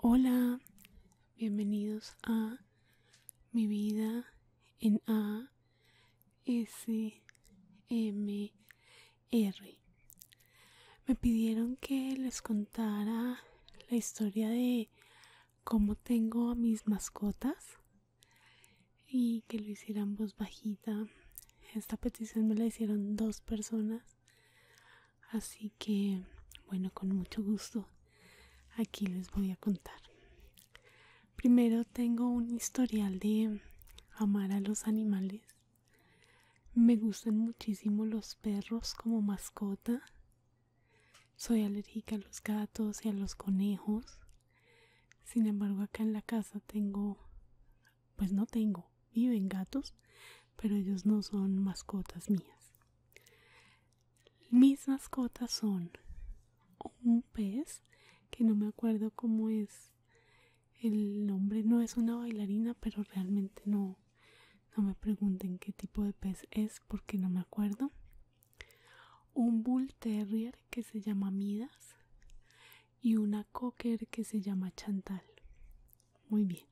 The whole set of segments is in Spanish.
Hola, bienvenidos a Mi vida en A S M R. Me pidieron que les contara la historia de como tengo a mis mascotas y que lo hicieran voz bajita. Esta petición me la hicieron dos personas. Así que, bueno, con mucho gusto aquí les voy a contar. Primero tengo un historial de amar a los animales. Me gustan muchísimo los perros como mascota. Soy alérgica a los gatos y a los conejos. Sin embargo, acá en la casa tengo, pues no tengo, viven gatos, pero ellos no son mascotas mías. Mis mascotas son un pez, que no me acuerdo cómo es el nombre, no es una bailarina, pero realmente no, no me pregunten qué tipo de pez es porque no me acuerdo un bull terrier que se llama Midas y una cocker que se llama Chantal. Muy bien.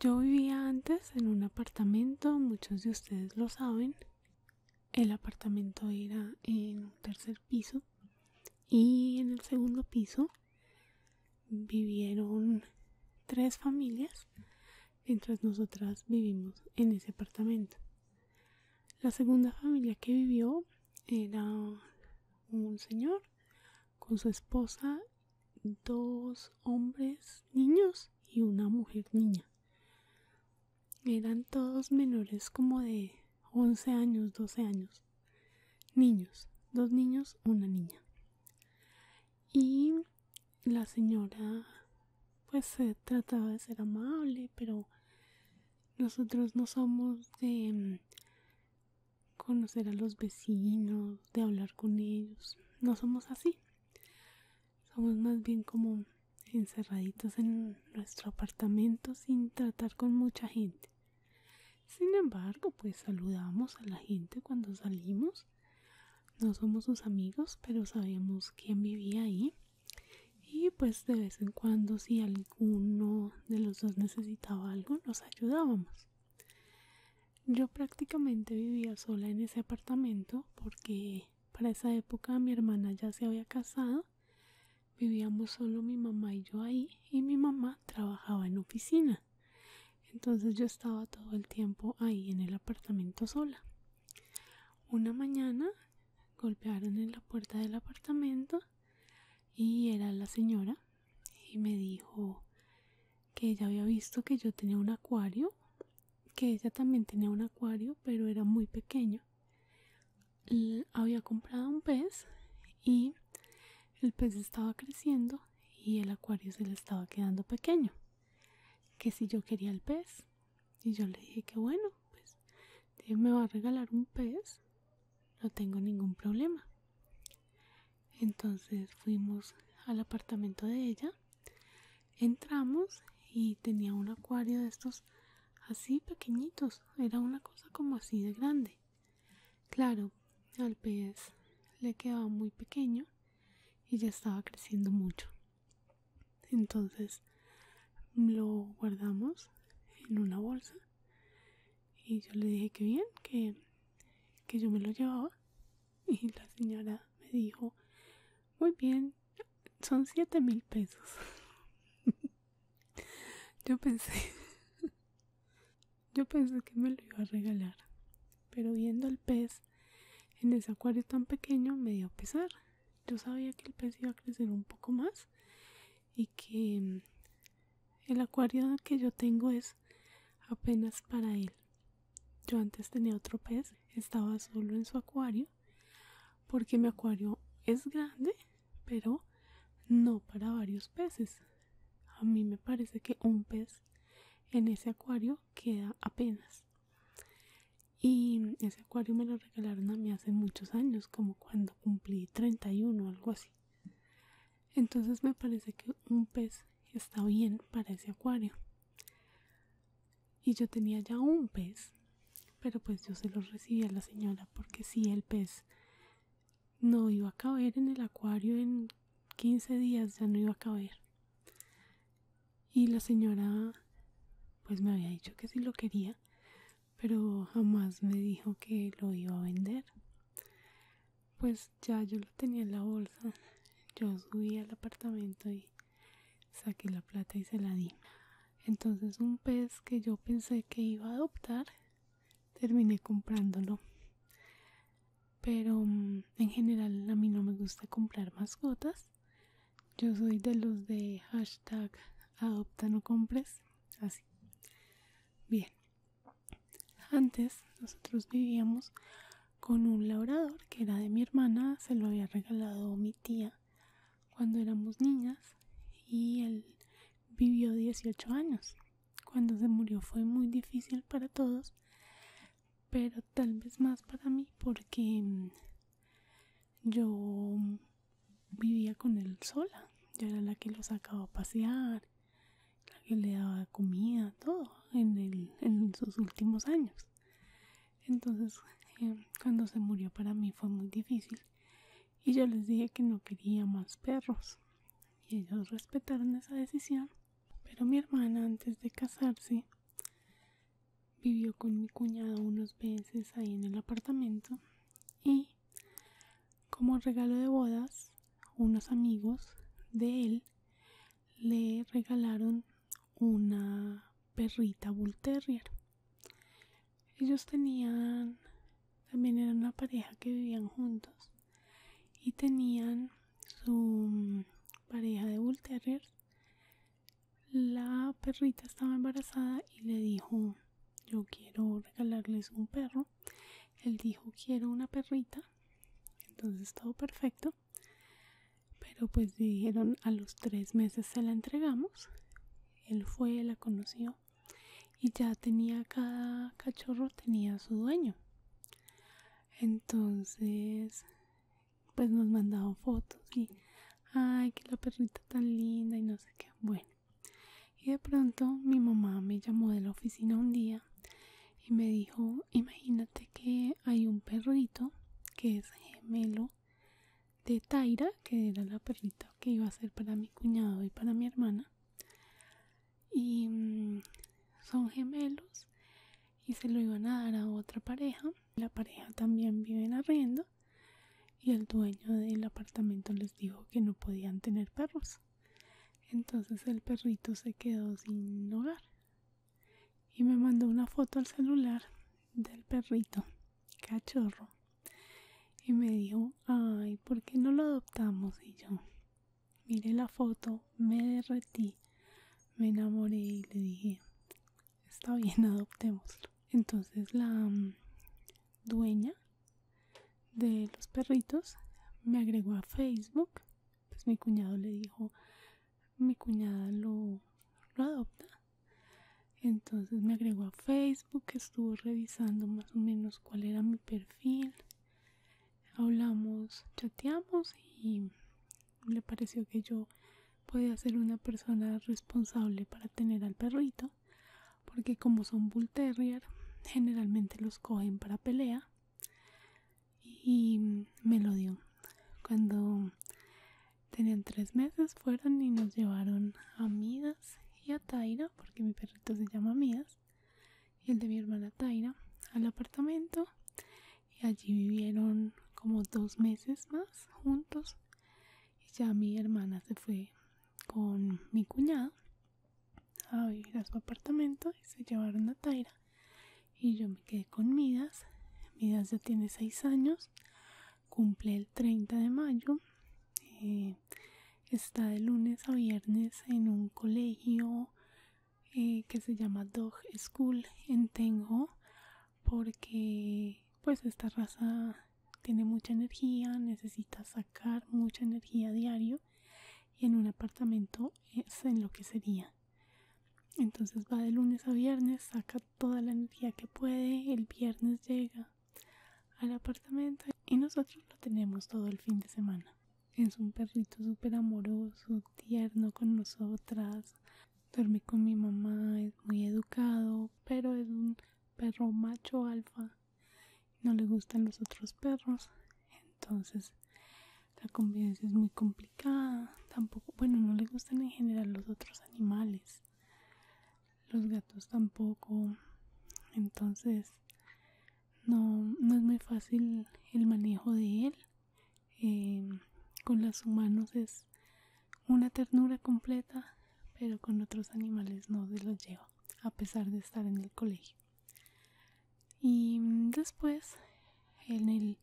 Yo vivía antes en un apartamento, muchos de ustedes lo saben. El apartamento era en un tercer piso y en el segundo piso vivieron tres familias mientras nosotras vivimos en ese apartamento. La segunda familia que vivió era un señor con su esposa, dos hombres niños y una mujer niña. Eran todos menores como de 11 años, 12 años. Niños, dos niños, una niña. Y la señora pues se eh, trataba de ser amable pero nosotros no somos de mm, conocer a los vecinos de hablar con ellos no somos así somos más bien como encerraditos en nuestro apartamento sin tratar con mucha gente sin embargo pues saludamos a la gente cuando salimos no somos sus amigos pero sabíamos quién vivía ahí y pues de vez en cuando si alguno de los dos necesitaba algo nos ayudábamos yo prácticamente vivía sola en ese apartamento porque para esa época mi hermana ya se había casado vivíamos solo mi mamá y yo ahí y mi mamá trabajaba en oficina entonces yo estaba todo el tiempo ahí en el apartamento sola una mañana golpearon en la puerta del apartamento y era la señora y me dijo que ella había visto que yo tenía un acuario, que ella también tenía un acuario, pero era muy pequeño. había comprado un pez y el pez estaba creciendo y el acuario se le estaba quedando pequeño que si yo quería el pez. Y yo le dije que bueno, pues Dios me va a regalar un pez, no tengo ningún problema. Entonces fuimos al apartamento de ella, entramos y tenía un acuario de estos así pequeñitos, era una cosa como así de grande. Claro, al pez le quedaba muy pequeño y ya estaba creciendo mucho entonces lo guardamos en una bolsa y yo le dije que bien que, yo me lo llevaba y la señora me dijo muy bien son 7 mil pesos yo pensé yo pensé que me lo iba a regalar pero viendo el pez en ese acuario tan pequeño me dio pesar. Yo sabía que el pez iba a crecer un poco más y que mm, el acuario que yo tengo es apenas para él. Yo antes tenía otro pez, estaba solo en su acuario, porque mi acuario es grande, pero no para varios peces. A mí me parece que un pez en ese acuario queda apenas. Y ese acuario me lo regalaron a mí hace muchos años, como cuando cumplí 31 o algo así. Entonces me parece que un pez está bien para ese acuario. Y yo tenía ya un pez, pero pues yo se lo recibí a la señora porque si el pez no iba a caber en el acuario en 15 días, ya no iba a caber y la señora pues me había dicho que sí lo quería pero jamás me dijo que lo iba a vender pues ya yo lo tenía en la bolsa yo subí al apartamento y saqué la plata y se la di entonces un pez que yo pensé que iba a adoptar terminé comprándolo pero mm, en general a mí no me gusta comprar mascotas yo soy de los de hashtag adopta no compres. Así. Bien. Antes nosotros vivíamos con un labrador que era de mi hermana. Se lo había regalado mi tía cuando éramos niñas. Y él vivió 18 años. Cuando se murió fue muy difícil para todos pero tal vez más para mí porque mm, yo vivía con él sola yo era la que lo sacaba a pasear la que le daba comida todo en, en sus últimos años entonces eh, cuando se murió para mí fue muy difícil y yo les dije que no quería más perros y ellos respetaron esa decisión pero mi hermana antes de casarse vivió con mi cuñado unos veces ahí en el apartamento y como regalo de bodas unos amigos de él le regalaron una perrita bull terrier ellos tenían también era una pareja que vivían juntos y tenían su mm, pareja de bull Terrier la perrita estaba embarazada y le dijo yo quiero regalarles un perro él dijo quiero una perrita entonces todo perfecto pero pues dijeron a los tres meses se la entregamos él fue la conoció y ya tenía cada cachorro tenía su dueño entonces pues nos mandado fotos y ay que la perrita tan linda y no sé qué bueno y de pronto mi mamá me llamó de la oficina un día y me dijo imagínate que hay un perrito que es gemelo de Taira que era la perrita que iba a ser para mi cuñado y para mi hermana y mm, son gemelos y se lo iban a dar a otra pareja. La pareja también vive en arriendo y el dueño del apartamento les dijo que no podían tener perros. Entonces el perrito se quedó sin hogar y me mandó una foto al celular del perrito cachorro y me dijo, ay, ¿por qué no lo adoptamos? Y yo, miré la foto, me derretí, me enamoré y le dije, está bien, adoptémoslo. Entonces la mm, dueña de los perritos me agregó a Facebook. Pues mi cuñado le dijo, mi cuñada lo, lo adopta. Entonces me agregó a Facebook, estuvo revisando más o menos cuál era mi perfil. Hablamos, chateamos y le pareció que yo podía ser una persona responsable para tener al perrito porque como son bull terrier generalmente los cogen para pelea y me lo dio cuando tenían tres meses fueron y nos llevaron a Midas y a Taira porque mi perrito se llama Midas y el de mi hermana Taira al apartamento y allí vivieron como dos meses más juntos y ya mi hermana se fue con mi cuñado a vivir a su apartamento y se llevaron a Taira y yo me quedé con Midas Midas ya tiene 6 años cumple el 30 de mayo está de lunes a viernes en un colegio eh, que se llama Dog School en Tengo porque pues esta raza tiene mucha energía, necesita sacar mucha energía diario y en un apartamento es en lo que sería. Entonces va de lunes a viernes, saca toda la energía que puede, el viernes llega al apartamento y nosotros lo tenemos todo el fin de semana. Es un perrito súper amoroso, tierno con nosotras, Dormí con mi mamá, es muy educado, pero es un perro macho alfa. No le gustan los otros perros. Entonces la convivencia es muy complicada. Tampoco, bueno, no le gustan en general los otros animales. Los gatos tampoco. Entonces no, es muy fácil el manejo de él. Eh, con las humanos es una ternura completa, pero con otros animales no se los llevo a pesar de estar en el colegio. Y mm, después, en el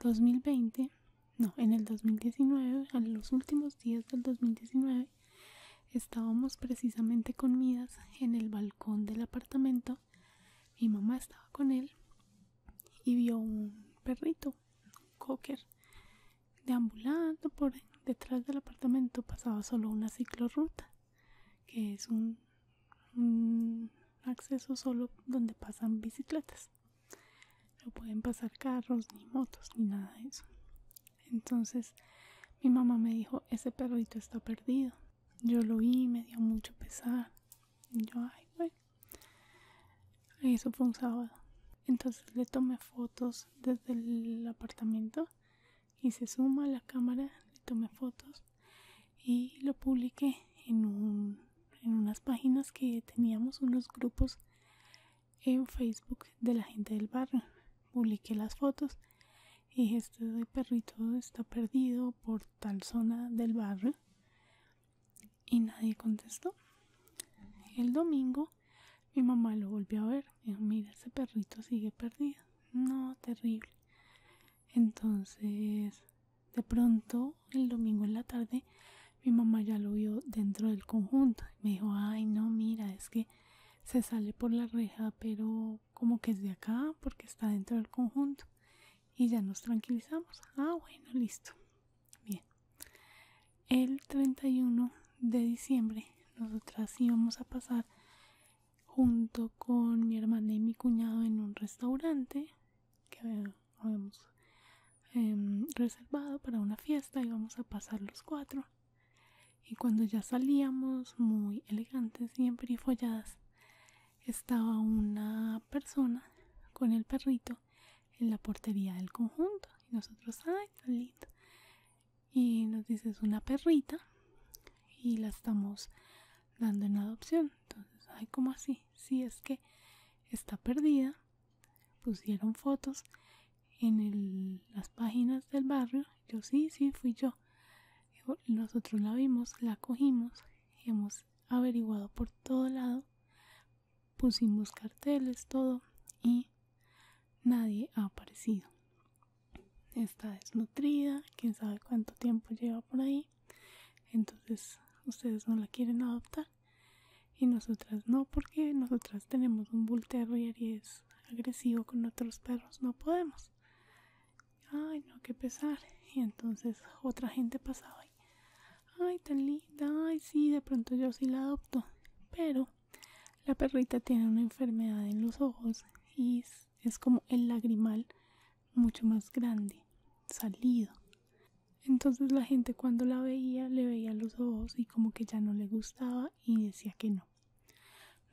2020, no, en el 2019, a los últimos días del 2019, estábamos precisamente con en el balcón del apartamento. Mi mamá estaba con él y vio un perrito, un cocker, deambulando por detrás del apartamento. Pasaba solo una ciclorruta, que es un, acceso solo donde pasan bicicletas. No pueden pasar carros, ni motos, ni nada de eso. Entonces mi mamá me dijo, ese perrito está perdido. Yo lo vi, me dio mucho pesar. yo, ay, güey eso fue un sábado. Entonces le tomé fotos desde el apartamento y se suma a la cámara, le tomé fotos y lo publiqué en, un, en unas páginas que teníamos unos grupos en Facebook de la gente del barrio. Publiqué las fotos y dije, este perrito está perdido por tal zona del barrio y nadie contestó. El domingo mi mamá lo volvió a ver. Dijo, mira, ese perrito sigue perdido. No, terrible. Entonces, de pronto, el domingo en la tarde, mi mamá ya lo vio dentro del conjunto. Me dijo, ay, no, mira, es que se sale por la reja, pero como que es de acá porque está dentro del conjunto. Y ya nos tranquilizamos. Ah, bueno, listo. Bien, el 31 de diciembre nosotras íbamos a pasar junto con mi hermana y mi cuñado en un restaurante que habíamos em, reservado para una fiesta, íbamos a pasar los cuatro. Y cuando ya salíamos muy elegantes y emperifolladas, estaba una persona con el perrito en la portería del conjunto y nosotros ay tan lindo y nos dice es una perrita y la estamos dando en adopción entonces ay como así si es que está perdida pusieron fotos en las páginas del barrio yo sí sí fui yo nosotros la vimos la cogimos hemos averiguado por todo lado pusimos pues, carteles, todo y nadie ha aparecido. Está desnutrida, quién sabe cuánto tiempo lleva por ahí. Entonces ustedes no la quieren adoptar y nosotras no, porque nosotras tenemos un bull y es agresivo con otros perros, no podemos. Ay, no, qué pesar. Y entonces otra gente pasaba ahí ay tan linda, ay sí, de pronto yo sí la adopto. Pero la perrita tiene una enfermedad en los ojos y es, como el lagrimal mucho más grande, salido. Entonces la gente cuando la veía le veía los ojos y como que ya no le gustaba y decía que no.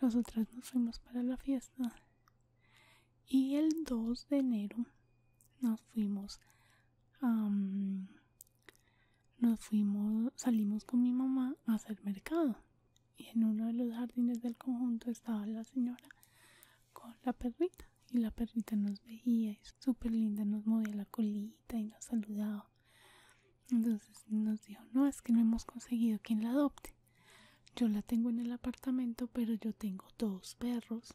Nosotras nos fuimos para la fiesta y el 2 de enero nos fuimos a nos fuimos, salimos con mi mamá a hacer mercado y en uno de los jardines del conjunto estaba la señora con la perrita y la perrita nos veía y súper linda nos movía la colita y nos saludaba. Entonces nos dijo, no, es que no hemos conseguido quien la adopte. Yo la tengo en el apartamento, pero yo tengo dos perros.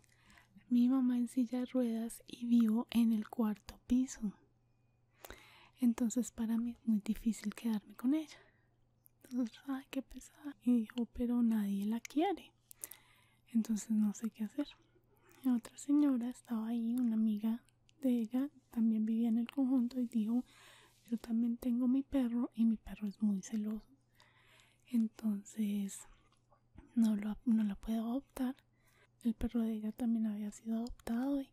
Mi mamá en silla de ruedas y vivo en el cuarto piso. Entonces para mí es muy difícil quedarme con ella. Entonces, ay, qué pesada. Y dijo, pero nadie la quiere. Entonces no sé qué hacer. La otra señora estaba ahí, una amiga de ella, también vivía en el conjunto y dijo, yo también tengo mi perro y mi perro es muy celoso. Entonces no, lo, no la puedo adoptar el perro de ella también había sido adoptado y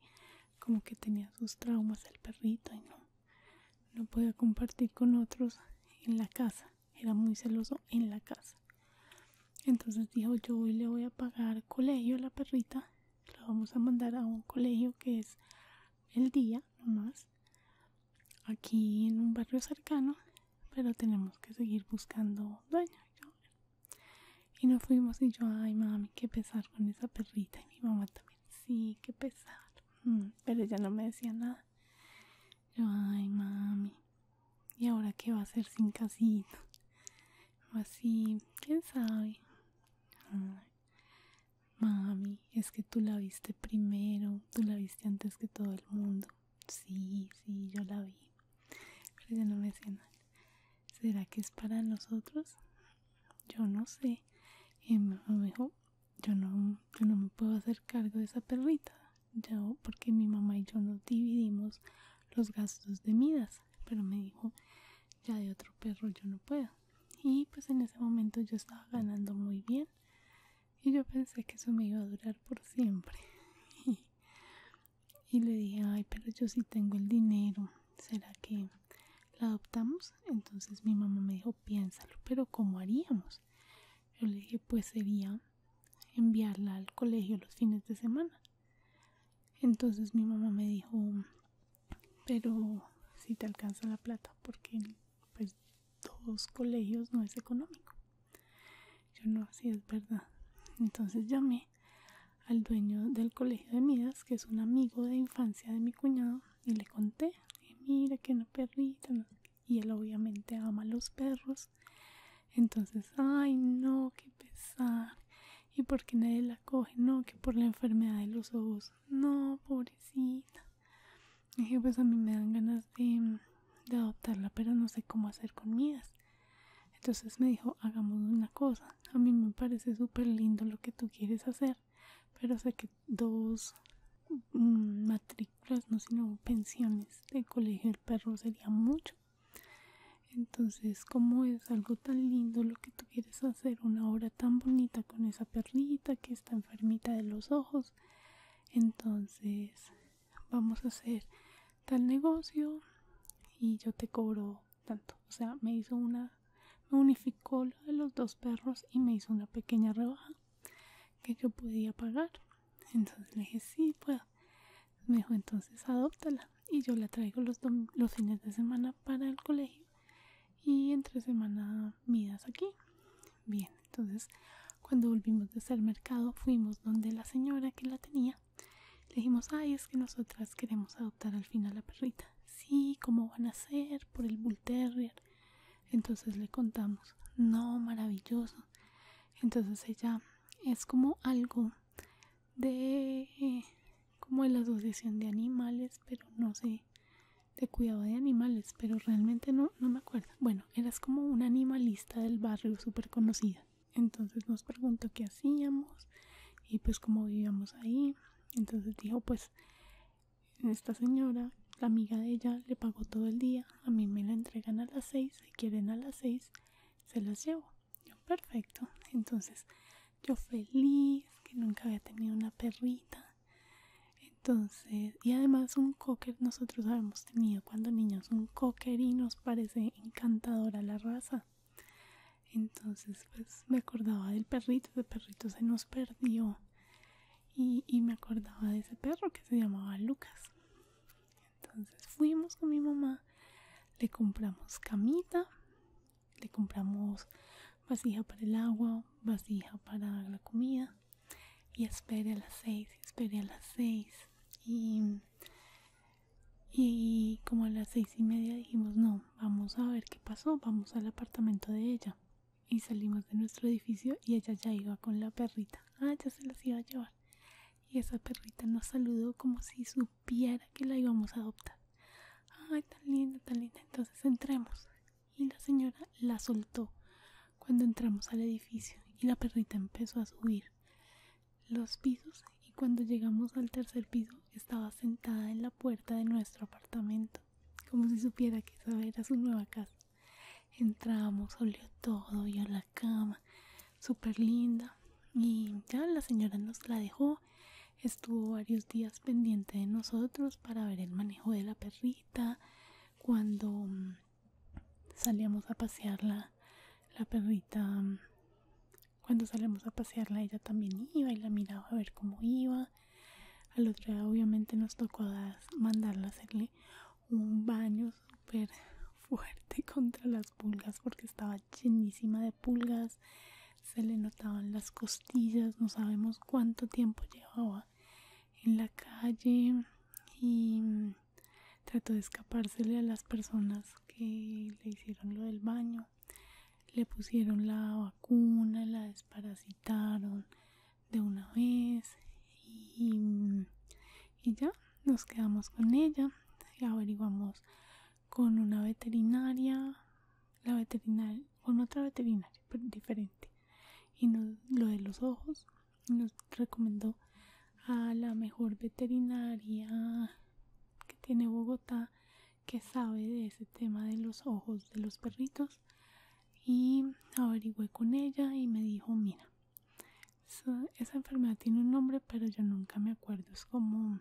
como que tenía sus traumas el perrito y no, no podía compartir con otros en la casa, era muy celoso en la casa. Entonces dijo yo hoy le voy a pagar colegio a la perrita, la vamos a mandar a un colegio que es el día nomás, aquí en un barrio cercano, pero tenemos que seguir buscando dueño. Y nos fuimos y yo, ay mami, qué pesar con esa perrita. Y mi mamá también, sí, qué pesar. Mm, pero ella no me decía nada. Yo, ay mami, ¿y ahora qué va a hacer sin casino? O así, quién sabe. mami, es que tú la viste primero, tú la viste antes que todo el mundo. Sí, sí, yo la vi. Pero ella no me decía nada será que es para nosotros yo no sé y mi mamá dijo yo no, me puedo hacer cargo de esa perrita yo porque mi mamá y yo nos dividimos los gastos de midas pero me dijo ya de otro perro yo no puedo y pues en ese momento yo estaba ganando muy bien y yo pensé que eso me iba a durar por siempre y le dije ay pero yo sí tengo el dinero será que la adoptamos entonces mi mamá me dijo piénsalo pero cómo haríamos yo le dije pues sería enviarla al colegio los fines de semana entonces mi mamá me dijo pero si te alcanza la plata porque pues dos colegios no es económico yo no, así es verdad. Entonces llamé al dueño del colegio de Midas, que es un amigo de infancia de mi cuñado, y le conté, mira que una perrita, no y él obviamente ama los perros. Entonces, ay no, qué pesar. ¿Y porque nadie la coge? No, que por la enfermedad de los ojos. No, pobrecita. Y dije, pues a mí me dan ganas de adoptarla, pero no sé cómo hacer con Midas. Entonces me dijo, hagamos una cosa, a mí me parece súper lindo lo que tú quieres hacer, pero sé que dos mm, matrículas, no sino pensiones de colegio del perro sería mucho. Entonces, como es algo tan lindo lo que tú quieres hacer, una obra tan bonita con esa perrita que está enfermita de los ojos, entonces vamos a hacer tal negocio y yo te cobro tanto. O sea, me hizo una, me unificó lo de los dos perros y me hizo una pequeña rebaja que yo podía pagar. Entonces le dije, sí, puedo. Me dijo, entonces adóptala. Y yo la traigo los, los fines de semana para el colegio. Y entre semana midas aquí. Bien, entonces cuando volvimos de ser mercado fuimos donde la señora que la tenía le dijimos, ay, es que nosotras queremos adoptar al final a la perrita. Sí, ¿cómo van a ser? Por el Bull Terrier. Entonces le contamos, no, maravilloso. Entonces ella es como algo de como de la asociación de animales, pero no sé, de cuidado de animales, pero realmente no, no me acuerdo. Bueno, eras como un animalista del barrio súper conocida entonces nos preguntó qué hacíamos y pues cómo vivíamos ahí entonces dijo pues esta señora la amiga de ella le pagó todo el día a mí me la entregan a las seis si quieren a las seis se las llevo yo perfecto entonces yo feliz que nunca había tenido una perrita entonces, y además un cocker, nosotros habíamos tenido cuando niños un cocker y nos parece encantadora la raza entonces pues me acordaba del perrito de perrito se nos perdió y, me acordaba de ese perro que se llamaba Lucas entonces fuimos con mi mamá le compramos camita le compramos vasija para el agua vasija para la comida y espere a las seis espere a las seis y y como a las seis y media dijimos no, vamos a ver qué pasó, vamos al apartamento de ella y salimos de nuestro edificio y ella ya iba con la perrita, ah ya se las iba a llevar y esa perrita nos saludó como si supiera que la íbamos a adoptar, ay tan linda, tan linda, entonces entremos y la señora la soltó cuando entramos al edificio y la perrita empezó a subir los pisos y cuando llegamos al tercer piso estaba sentada en la puerta de nuestro apartamento, como si supiera que esa era su nueva casa. Entramos, olió todo, y a la cama, super linda y ya la señora nos la dejó. Estuvo varios días pendiente de nosotros para ver el manejo de la perrita. Cuando mm, salíamos a pasearla, la perrita cuando salimos a pasearla ella también iba y la miraba a ver cómo iba. Al otro día obviamente nos tocó mandarla a hacerle un baño súper fuerte contra las pulgas porque estaba llenísima de pulgas. Se le notaban las costillas, no sabemos cuánto tiempo llevaba en la calle y trató de escapársele a las personas que le hicieron lo del baño le pusieron la vacuna, la desparasitaron de una vez y, ya nos quedamos con ella y averiguamos con una veterinaria, la veterinaria, con otra veterinaria pero diferente y nos, lo de los ojos nos recomendó a la mejor veterinaria que tiene Bogotá que sabe de ese tema de los ojos de los perritos y averigüé con ella y me dijo mira esa enfermedad tiene un nombre pero yo nunca me acuerdo es como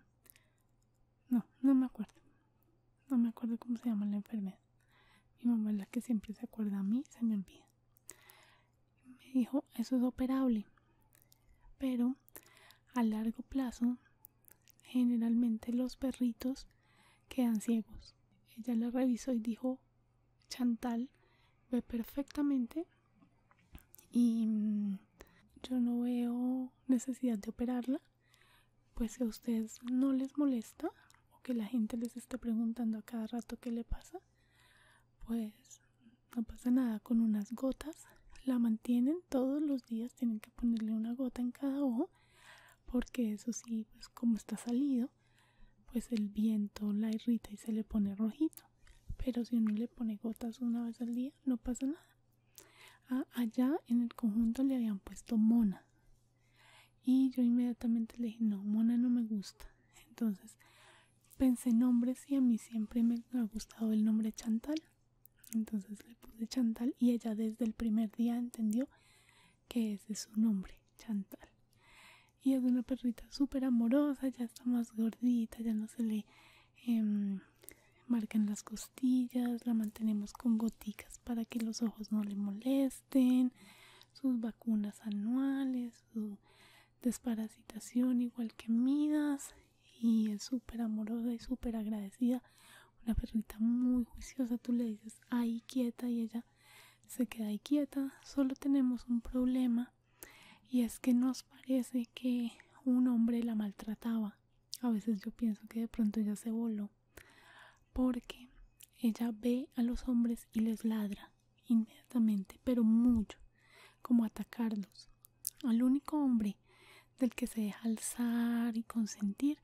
no no me acuerdo no me acuerdo cómo se llama la enfermedad mi mamá es la que siempre se acuerda a mí se me olvida me dijo eso es operable pero a largo plazo generalmente los perritos quedan ciegos. Ella la revisó y dijo, Chantal ve perfectamente y mm, yo no veo necesidad de operarla, pues si a ustedes no les molesta o que la gente les esté preguntando a cada rato qué le pasa, pues no pasa nada con unas gotas la mantienen todos los días tienen que ponerle una gota en cada ojo porque eso sí pues como está salido pues el viento la irrita y se le pone rojito pero si uno le pone gotas una vez al día no pasa nada ah, allá en el conjunto le habían puesto mona y yo inmediatamente le dije no mona no me gusta entonces pensé nombres y a mí siempre me ha gustado el nombre chantal entonces le puse Chantal y ella desde el primer día entendió que ese es su nombre, Chantal. Y es una perrita súper amorosa, ya está más gordita, ya no se le em, marcan las costillas, la mantenemos con goticas para que los ojos no le molesten, sus vacunas anuales, su desparasitación igual que Midas y es súper amorosa y súper agradecida. Una perrita muy juiciosa, tú le dices ahí quieta y ella se queda ahí quieta. Solo tenemos un problema y es que nos parece que un hombre la maltrataba. A veces yo pienso que de pronto ella se voló porque ella ve a los hombres y les ladra inmediatamente, pero mucho, como atacarlos. Al único hombre del que se deja alzar y consentir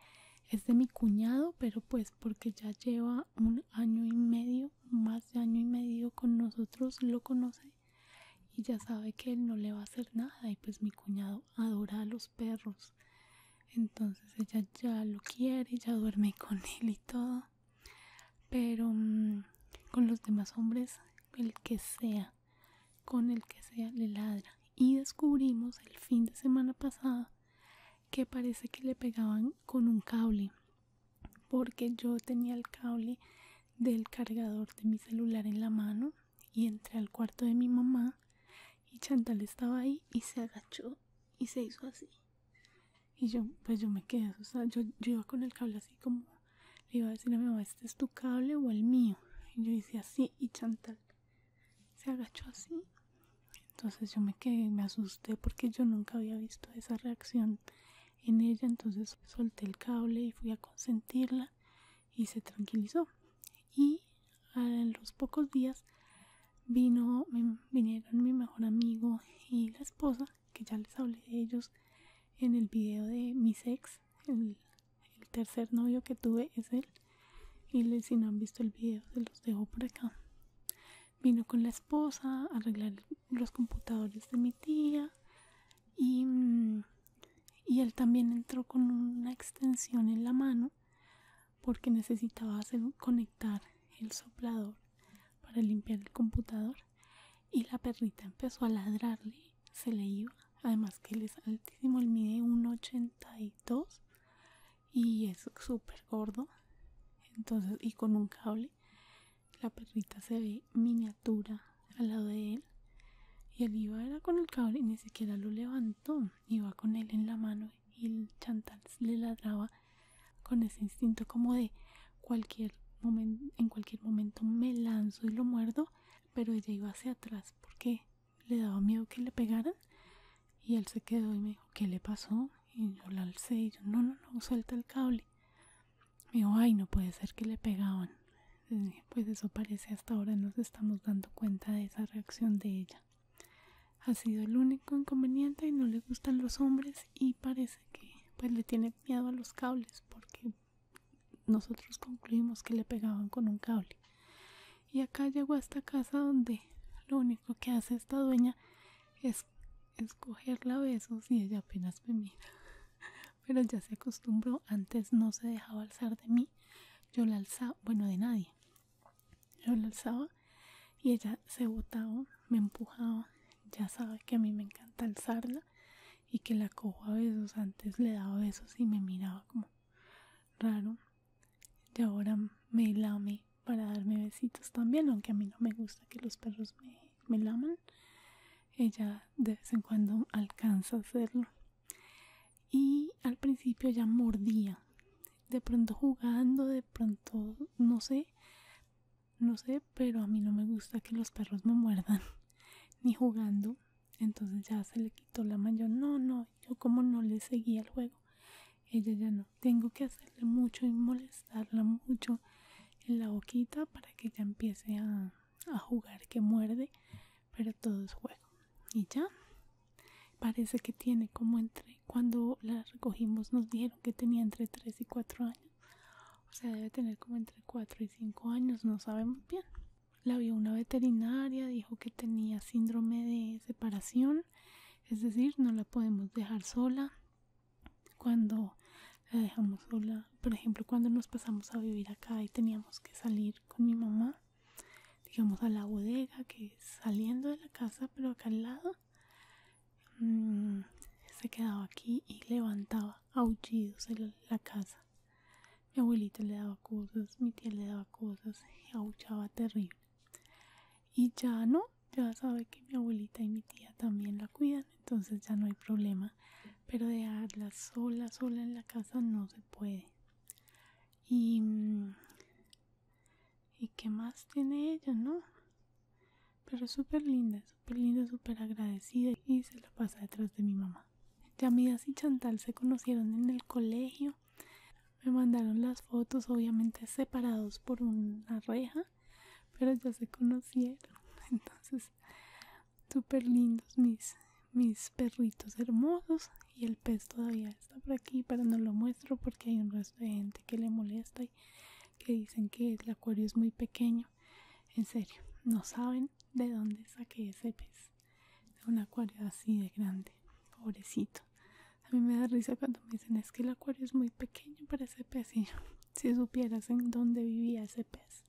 es de mi cuñado, pero pues porque ya lleva un año y medio, más de año y medio con nosotros, lo conoce y ya sabe que él no le va a hacer nada y pues mi cuñado adora a los perros. Entonces ella ya lo quiere, ya duerme con él y todo. Pero mm, con los demás hombres, el que sea, con el que sea le ladra y descubrimos el fin de semana pasada que parece que le pegaban con un cable porque yo tenía el cable del cargador de mi celular en la mano y entré al cuarto de mi mamá y Chantal estaba ahí y se agachó y se hizo así y yo pues yo me quedé o yo, yo iba con el cable así como le iba a decir a mi mamá, ¿este es tu cable o el mío? Y yo hice así y Chantal se agachó así. Entonces yo me quedé, me asusté porque yo nunca había visto esa reacción en ella. Entonces solté el cable y fui a consentirla y se tranquilizó. Y a los pocos días vino, vinieron mi mejor amigo y la esposa, que ya les hablé de ellos en el video de mis ex, el tercer novio que tuve es él. Y si no han visto el video, se los dejo por acá. Vino con la esposa a arreglar los computadores de mi tía. Y, mm, y él también entró con una extensión en la mano porque necesitaba hacer, conectar el soplador para limpiar el computador y la perrita empezó a ladrarle se le iba además que él es altísimo él mide 1,82 y es súper gordo entonces y con un cable la perrita se ve miniatura al lado de él y él iba con el cable y ni siquiera lo levantó iba con él en la mano y el chantal le ladraba con ese instinto como de cualquier momento en cualquier momento me lanzo y lo muerdo pero ella iba hacia atrás porque le daba miedo que le pegaran y él se quedó y me dijo ¿qué le pasó? y yo la alcé y yo no, no, no, suelta el cable me dijo ay no puede ser que le pegaban pues eso parece hasta ahora nos estamos dando cuenta de esa reacción de ella ha sido el único inconveniente y no le gustan los hombres y parece que pues le tiene miedo a los cables porque nosotros concluimos que le pegaban con un cable. Y acá llegó a esta casa donde lo único que hace esta dueña es escogerla besos y ella apenas me mira. Pero ya se acostumbró, antes no se dejaba alzar de mí. Yo la alzaba, bueno, de nadie. Yo la alzaba y ella se botaba, me empujaba. Ya sabe que a mí me encanta alzarla y que la cojo a besos. Antes le daba besos y me miraba como raro. Y ahora me lame para darme besitos también, aunque a mí no me gusta que los perros me, lamen laman. Ella de vez en cuando alcanza a hacerlo. Y al principio ya mordía. De pronto jugando, de pronto no sé, no sé, pero a mí no me gusta que los perros me muerdan. Ni jugando, entonces ya se le quitó la yo no no yo como no le seguía el juego ella ya no tengo que hacerle mucho y molestarla mucho en la boquita para que ya empiece a, a jugar que muerde pero todo es juego y ya parece que tiene como entre cuando la recogimos nos dijeron que tenía entre 3 y 4 años o sea debe tener como entre 4 y 5 años no sabemos bien la vio una veterinaria, dijo que tenía síndrome de separación, es decir, no la podemos dejar sola. Cuando la dejamos sola, por ejemplo, cuando nos pasamos a vivir acá y teníamos que salir con mi mamá, digamos a la bodega, que saliendo de la casa, pero acá al lado, mm, se quedaba aquí y levantaba aullidos en la casa mi abuelita le daba cosas, mi tía le daba cosas, y abuchaba terrible. Y ya no, ya sabe que mi abuelita y mi tía también la cuidan, entonces ya no hay problema. Pero dejarla sola, sola en la casa no se puede. Y, mm, y qué más tiene ella, ¿no? Pero es súper linda, súper linda, súper agradecida y se la pasa detrás de mi mamá. Yamidas y Chantal se conocieron en el colegio. Me mandaron las fotos, obviamente separados por una reja, pero ya se conocieron. Entonces, súper lindos mis, mis perritos hermosos. Y el pez todavía está por aquí, pero no lo muestro porque hay un resto de gente que le molesta y que dicen que el acuario es muy pequeño. En serio, no saben de dónde saqué ese pez de un acuario así de grande, pobrecito. A mí me da risa cuando me dicen es que el acuario es muy pequeño para ese pez si supieras en dónde vivía ese pez,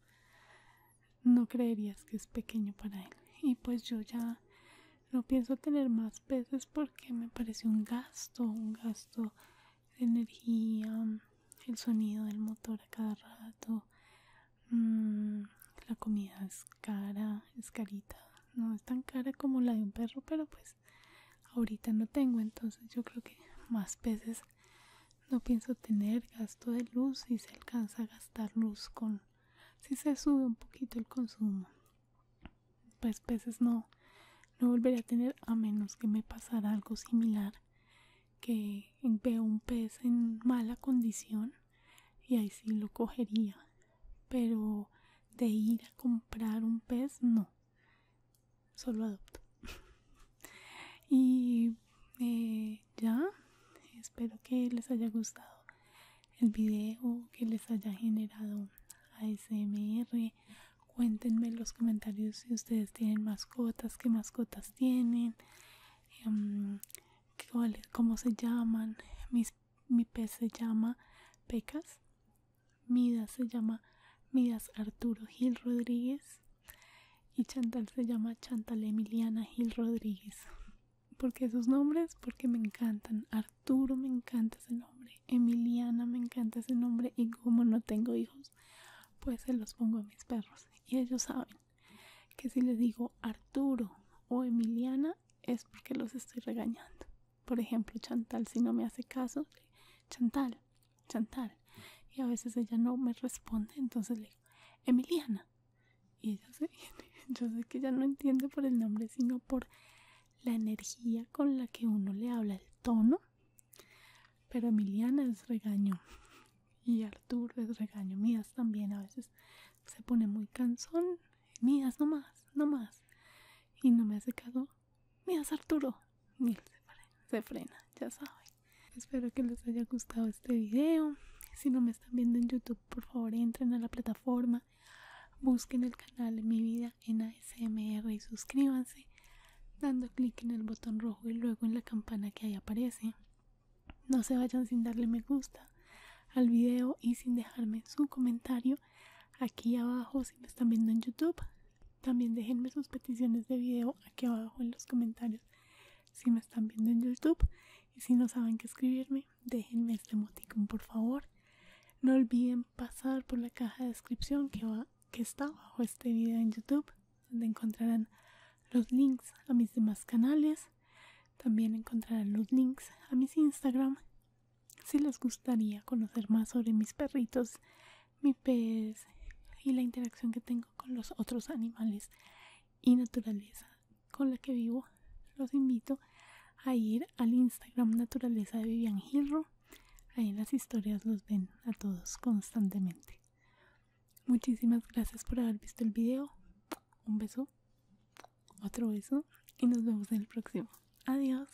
no creerías que es pequeño para él. Y pues yo ya no pienso tener más peces porque me parece un gasto, un gasto de energía, el sonido del motor a cada rato, Mm, la comida es cara, es carita. No es tan cara como la de un perro, pero pues ahorita no tengo. Entonces yo creo que más peces no pienso tener gasto de luz si se alcanza a gastar luz con si se sube un poquito el consumo pues peces no no volveré a tener a menos que me pasara algo similar que veo un pez en mala condición y ahí sí lo cogería pero de ir a comprar un pez no solo adopto y eh, ya espero que les haya gustado el video que les haya generado ASMR cuéntenme en los comentarios si ustedes tienen mascotas qué mascotas tienen em, cómo se llaman. Mis, mi pez se llama Pecas. Midas se llama Midas Arturo Gil Rodríguez. Y Chantal se llama Chantal Emiliana Gil Rodríguez. Porque esos nombres, porque me encantan. Arturo me encanta ese nombre. Emiliana me encanta ese nombre. Y como no tengo hijos, pues se los pongo a mis perros. Y ellos saben que si le digo Arturo o Emiliana es porque los estoy regañando. Por ejemplo, Chantal si no me hace caso, Chantal, Chantal. Y a veces ella no me responde, entonces le digo, Emiliana. Y ella se viene. Yo sé que ella no entiende por el nombre, sino por la energía con la que uno le habla, el tono. Pero Emiliana es regaño y Arturo es regaño. Mías también a veces se pone muy cansón. Mías, no más, no más. Y no me ha caso. Mías, Arturo. Ni se frena, ya sabe, Espero que les haya gustado este video. Si no me están viendo en YouTube, por favor entren a la plataforma. Busquen el canal Mi Vida en ASMR y suscríbanse dando clic en el botón rojo y luego en la campana que ahí aparece. No se vayan sin darle me gusta al video y sin dejarme su comentario aquí abajo si me están viendo en YouTube. También déjenme sus peticiones de video aquí abajo en los comentarios si me están viendo en YouTube. Y si no saben qué escribirme, déjenme este emoticon por favor. No olviden pasar por la caja de descripción que, que está bajo este video en YouTube, donde encontrarán los links a mis demás canales también encontrarán los links a mis Instagram si les gustaría conocer más sobre mis perritos, mi pez y la interacción que tengo con los otros animales y naturaleza con la que vivo. Los invito a ir al Instagram Naturaleza de Vivian Gilro. Ahí las historias los ven a todos constantemente. Muchísimas gracias por haber visto el video un beso, otro beso y nos vemos en el próximo. Adiós.